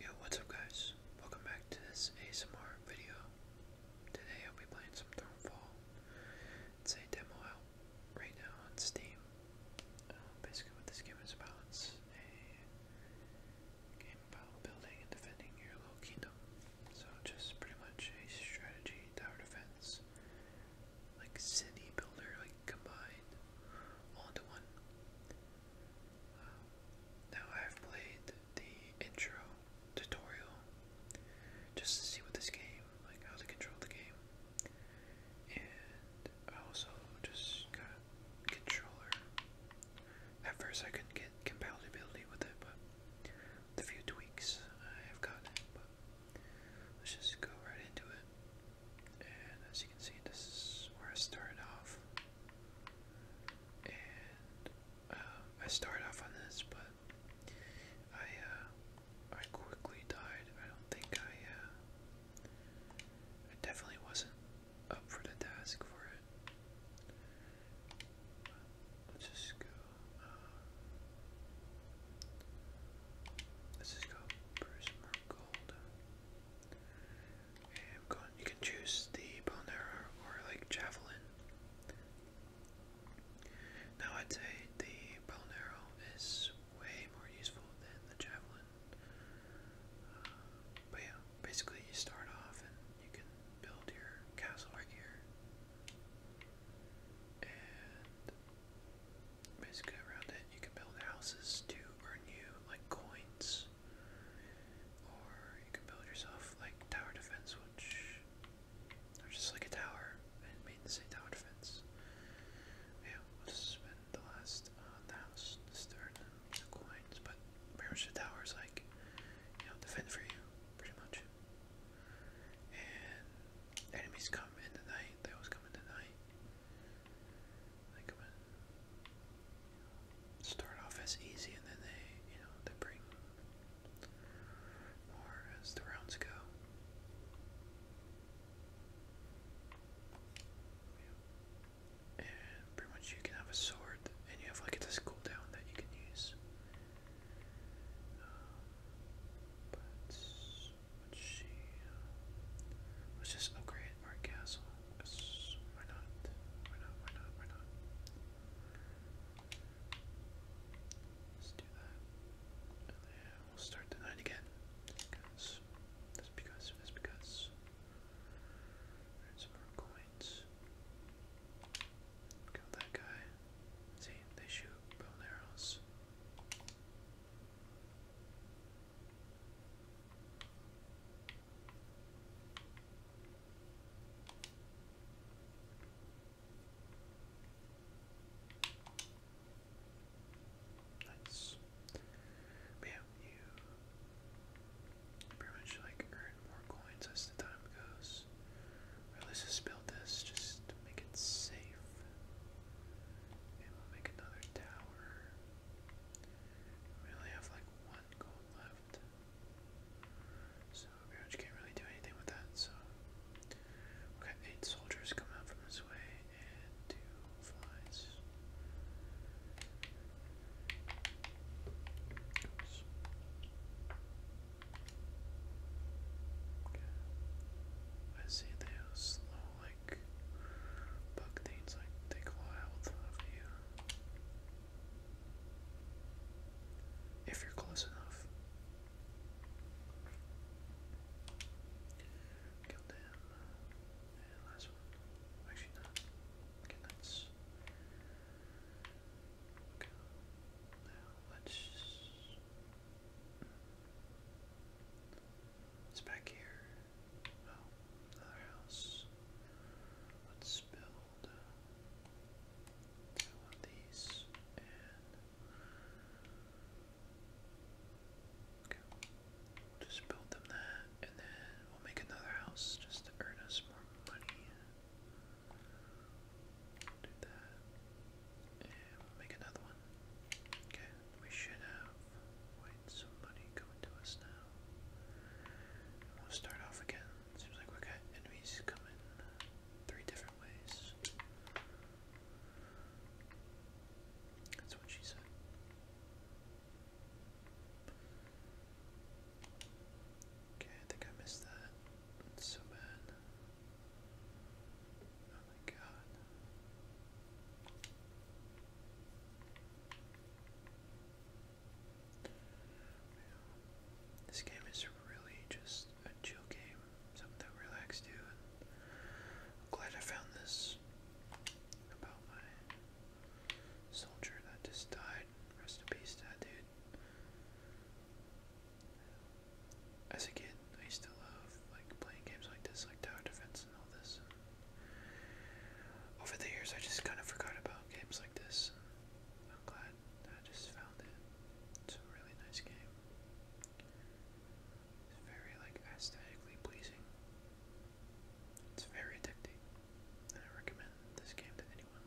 Yo, what's up guys? Welcome back to this ASMR video. Today I'll be playing some Thronefall. It's a demo out right now on Steam. Um, basically what this game is about, it's a game about building and defending your little kingdom. So just pretty much a strategy tower defense. Like city builder, like combined all into one now I've played the intro tutorial just to see what this game, like how to control the game, and I also just got controller. At first I couldn't get compatibility with it, but the few tweaks I have got, let's just go right into it. And as you can see, this is where I started off and uh, I start off on this, but I uh, I quickly died. I don't think I uh, I definitely wasn't up for the task for it. Let's just go. Let's just go for gold. You can choose the bow arrow or like javelin. Now I'd say the bow is way more useful than the javelin. Uh, but yeah, basically you start off and you can build your castle right here. And basically around it you can build houses to earn you like coins or you can build yourself like tower defense, which or just like a tower and made the same tower defense. Yeah, we'll just spend the last uh, thousand uh, the house, this the coins, but pretty much the tower is like you know, defend for you, pretty much. And enemies come in the night, they always come in the night. Uh, start off as easy, and then they, you know, they bring more as the rounds go. And pretty much you can have a sword, and you have like this cooldown that you can use. Uh, but let's see. Uh, let's castle why not? Why not? Why not? Why not? Let's do that. And then we'll start the night again. Because that's because that's because there's some more coins. Kill that guy. See, they shoot bone arrows. Nice. But yeah, you pretty much like earn more coins as the time goes. let's just build this just make it safe. And we'll make another tower. We only have like one gold left left. So Overwatch can't really do anything with that, so we eight soldiers come out from this way and two flies. Okay. I see they have slow like bug things like take a while of you. If you're close enough. Killed last one. Actually, not. Okay, that's. Okay. Now, let's. It's back here another house. Let's build two of these and okay. we just build them that and then we'll make another house just to earn us more money. do that. And we'll make another one. Okay, we should have some money coming to us now. We'll start off again. Seems like we got enemies coming three different ways. That's what she said. Okay, I think I missed that. so bad. Oh my god. This game is really just a chill game, something that relaxed you. And glad I found this about my soldier that just died. Rest in peace that dude. As a kid, I used to love like playing games like this, like tower defense and all this. over the years, I just kind of forgot about games like this. I'm glad that I just found it. It's a really nice game. It's very like aesthetically pleasing. It's very addicting. I recommend this game to anyone.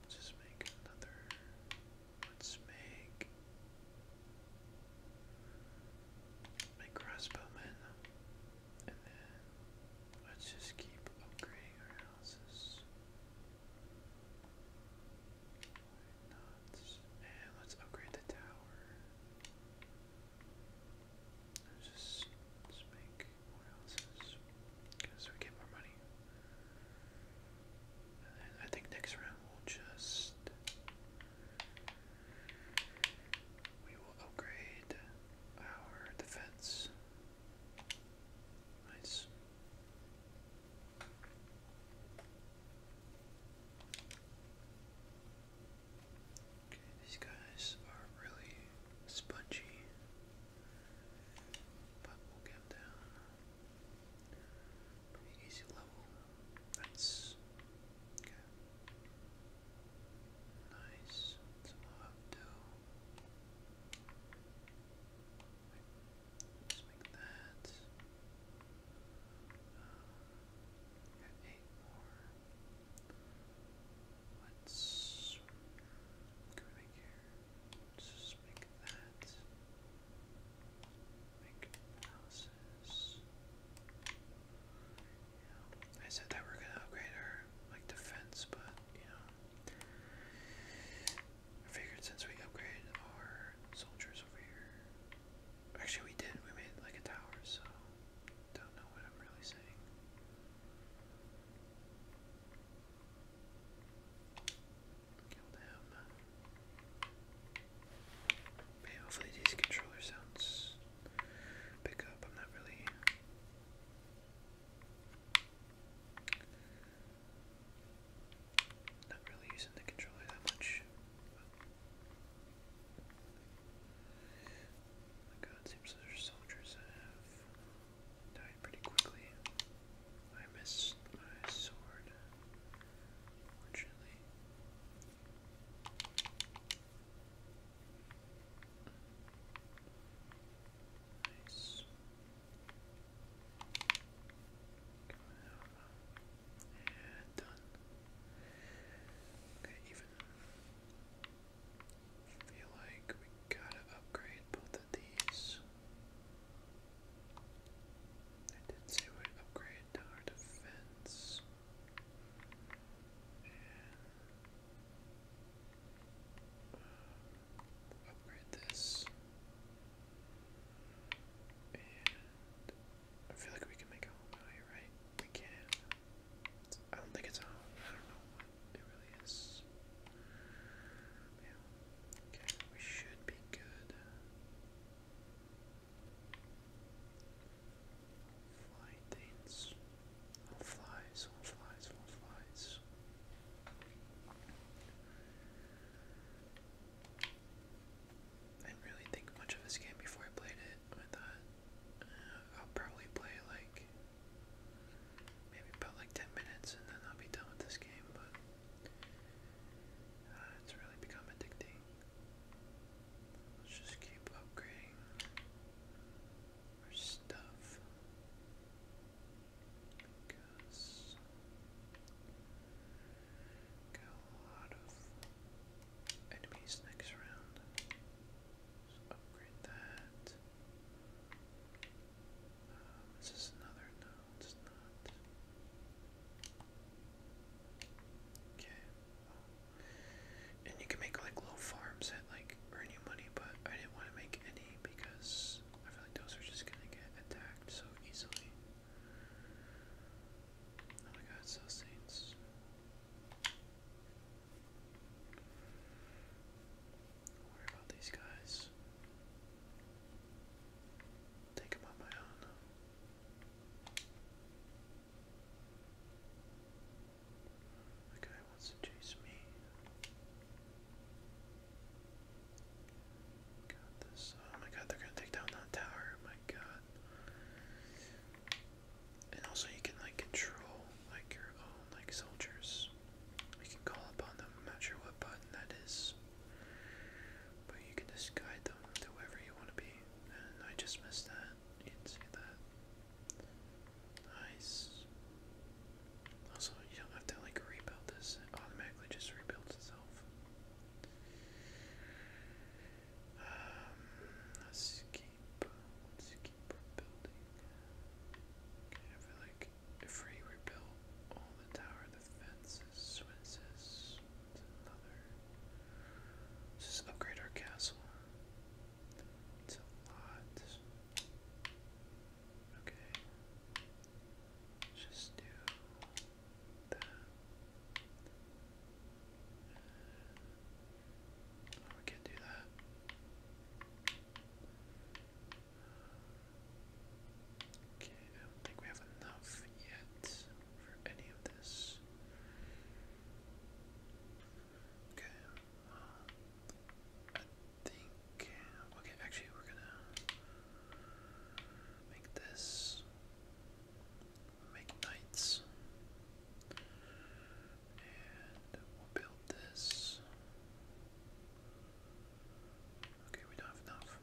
let's just make another let's make my crossbowmen. And then let's just keep upgrading our houses. Why not? And let's upgrade the tower. Let's just, make more houses. Because we get more money. And I think next round we'll just. We will upgrade our defense. Nice. these guys are really spongy, but we'll get them down. Pretty easy level. That's okay. Nice. So we'll just make that. Uh, got eight more. Let's make here? just make that. Make analysis. I said that we're gonna upgrade our like defense, but you know, I figured since we upgraded our soldiers over here, actually we did. We made like a tower, so don't know what I'm really saying. Killed him. Okay, hopefully these controller sounds pick up. I'm not really not really using the controller that much. Oh god, seems there's soldiers that have died pretty quickly. I missed my sword, unfortunately. Nice. Okay, even feel like we gotta upgrade both of these. I did say we upgrade our defense. And upgrade this. I feel like we can make a home out here, right? We can. I don't think it's a I don't know it really is. Okay, we should be good. Fly flies, flies, flies. I didn't really think much of this game before I played it. I thought uh, I'll probably play like maybe about like 10 minutes and then I'll be done with this game, but uh, it's really become addicting. Let's just keep upgrading our stuff because we've got a lot of enemies next round. So upgrade that. Um, is this another? No, it's not. Okay. Well, and you can make like little farms at like earn you money, but I didn't want to make any because I feel like those are just gonna get attacked so easily. Oh my god, so saints. worry about these guys. Take them on my own. The guy wants to chase me. Got this. Oh my god, they're gonna take down that tower. Oh my god. And also you can like control like your own like soldiers. You can call upon them, I'm not sure what button that is. But you can just guide them to wherever you want to be. And I just missed that. You see that. Nice. Also, you don't have to like rebuild this, it automatically just rebuilds itself. Um, let's keep, let's keep rebuilding. Okay, I like if we rebuild all the tower, the fences, what is another. just upgrade our castle. It's a lot. Okay. Just do that. Oh, we can do that. Okay, I don't think we have enough yet for any of this. Okay. Um, I think. Okay, actually, we're gonna make this. Make knights. And we'll build this. Okay, we don't have enough,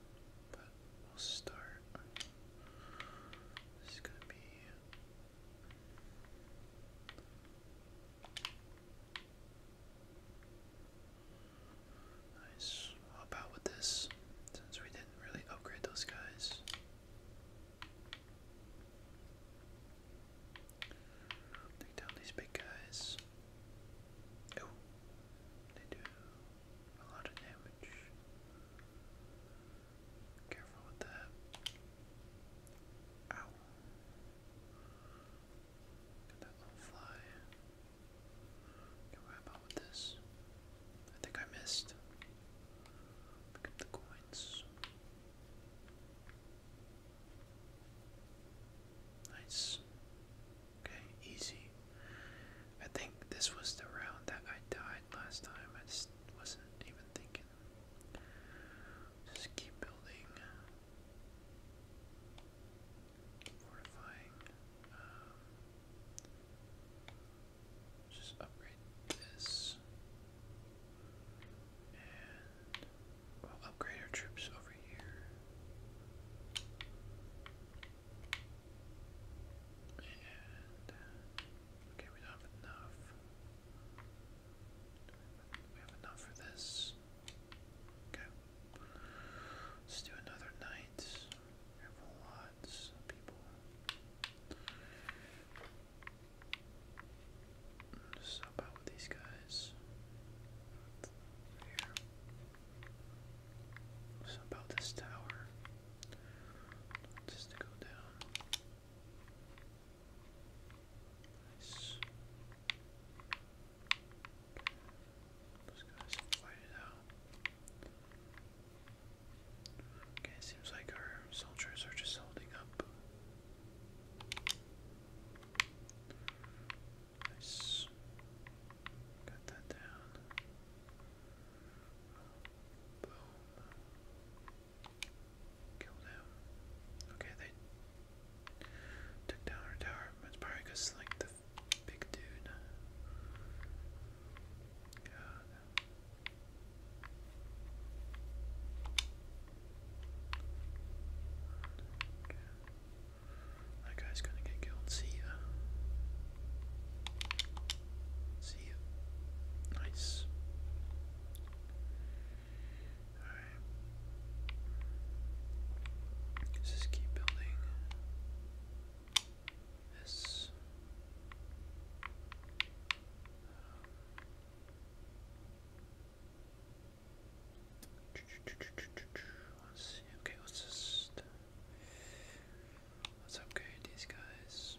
but we'll start. This is gonna be. Nice. How about with this? Since we didn't really upgrade those guys. Take down these big guys. Oh, they do a lot of damage. Careful with that. Ow. Got that little fly. Okay, how about with this? I think I missed. Pick up the coins. Nice. Okay, easy. I think this was the round that I died last time. I just wasn't even thinking. Just keep building. Um, just upgrade this. And upgrade our troops over here. And okay, we have enough. We have enough for this. Okay. Let's do another night. lots of people. Just help these guys. Here. let this tower. Just to go down. Nice. Those guys have it out. Okay, it seems like our soldiers are just holding up. Nice. Got that down. Boom. Kill them. Okay, they Took down her tower. It's probably because like the big dude. That guy's gonna get killed. See ya. See ya. Nice. Alright. let just keep building this. let's see. Okay, let's just let's upgrade these guys.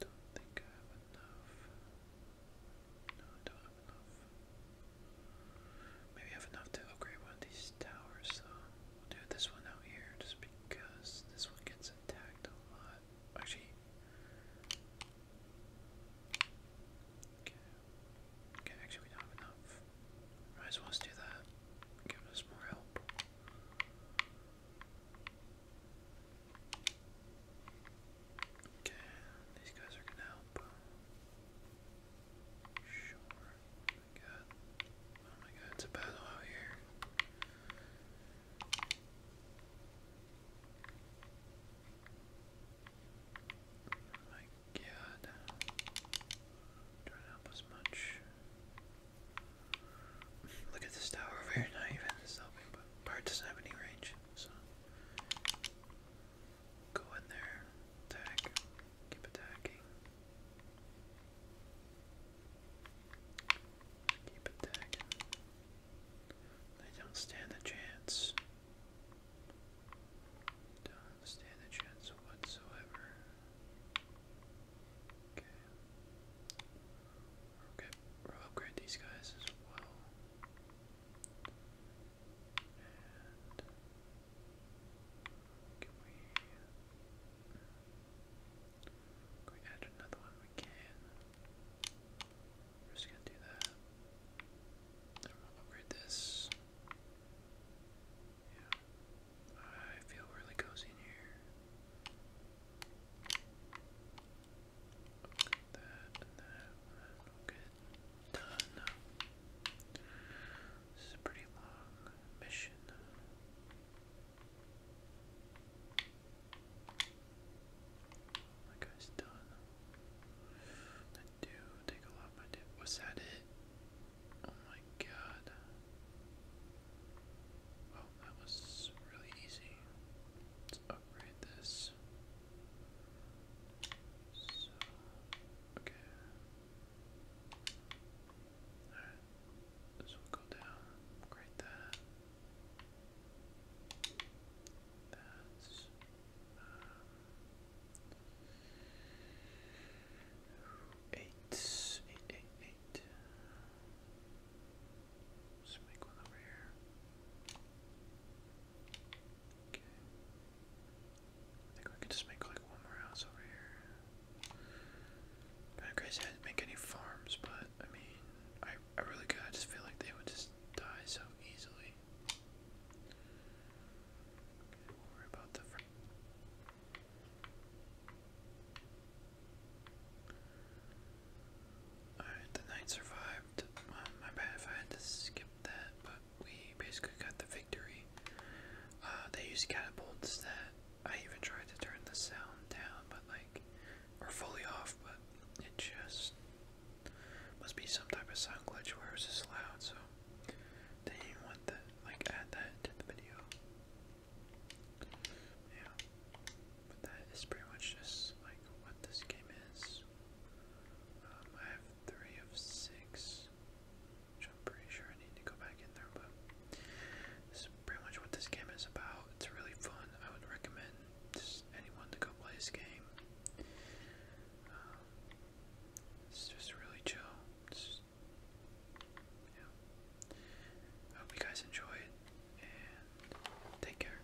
Don't think I have enough. I Maybe have enough to upgrade one of these towers, though. We'll do this one out here just because this one gets attacked a lot. Actually. Okay. Okay, actually, we don't have enough. Might as well let do that. Give us more help. Okay, these guys are gonna help. Um, sure. Oh my god. Oh my god, it's a battle out here. Oh my god. Trying to help us much. Look at this tower over here, not even this helping, but doesn't have any range. So go in there, attack, keep attacking. Keep attacking. They don't stand a chance. Don't stand a chance whatsoever. Okay. Okay we'll upgrade these guys as well. And can we can we add another one? We can. We're just gonna do that. Then we'll upgrade this. Yeah. I feel really cozy in here. That that, we done. This is a pretty long mission. That guy's done. I do take a lot my dip. Was that it? Oh my god. Well, that was really easy upgrade this. So, okay. Alright, this will go down. Upgrade that. That's. Um, eight, eight, eight, eight let make one over here. Okay. I think we could just make like one more house over here. Kind of crazy I didn't make any farms, but I mean, I I really could. I just feel like they would just die so easily. we'll about the. Fr Alright, the knight survived. my bad I had to skip that, but we basically got the victory. Uh, they used catapults that I even tried to turn the sound down, but like, are fully off, but it just must be some type of sound glitch where it just loud, so they did want the like, add that to the video. Yeah, but that is pretty much just like what this game is. Um, I have three of six, which I'm pretty sure I need to go back in there, but this pretty much what this game is about. It's really fun. I would recommend just anyone to go play this game. Um, it's just really chill. I hope you guys enjoy it, and take care.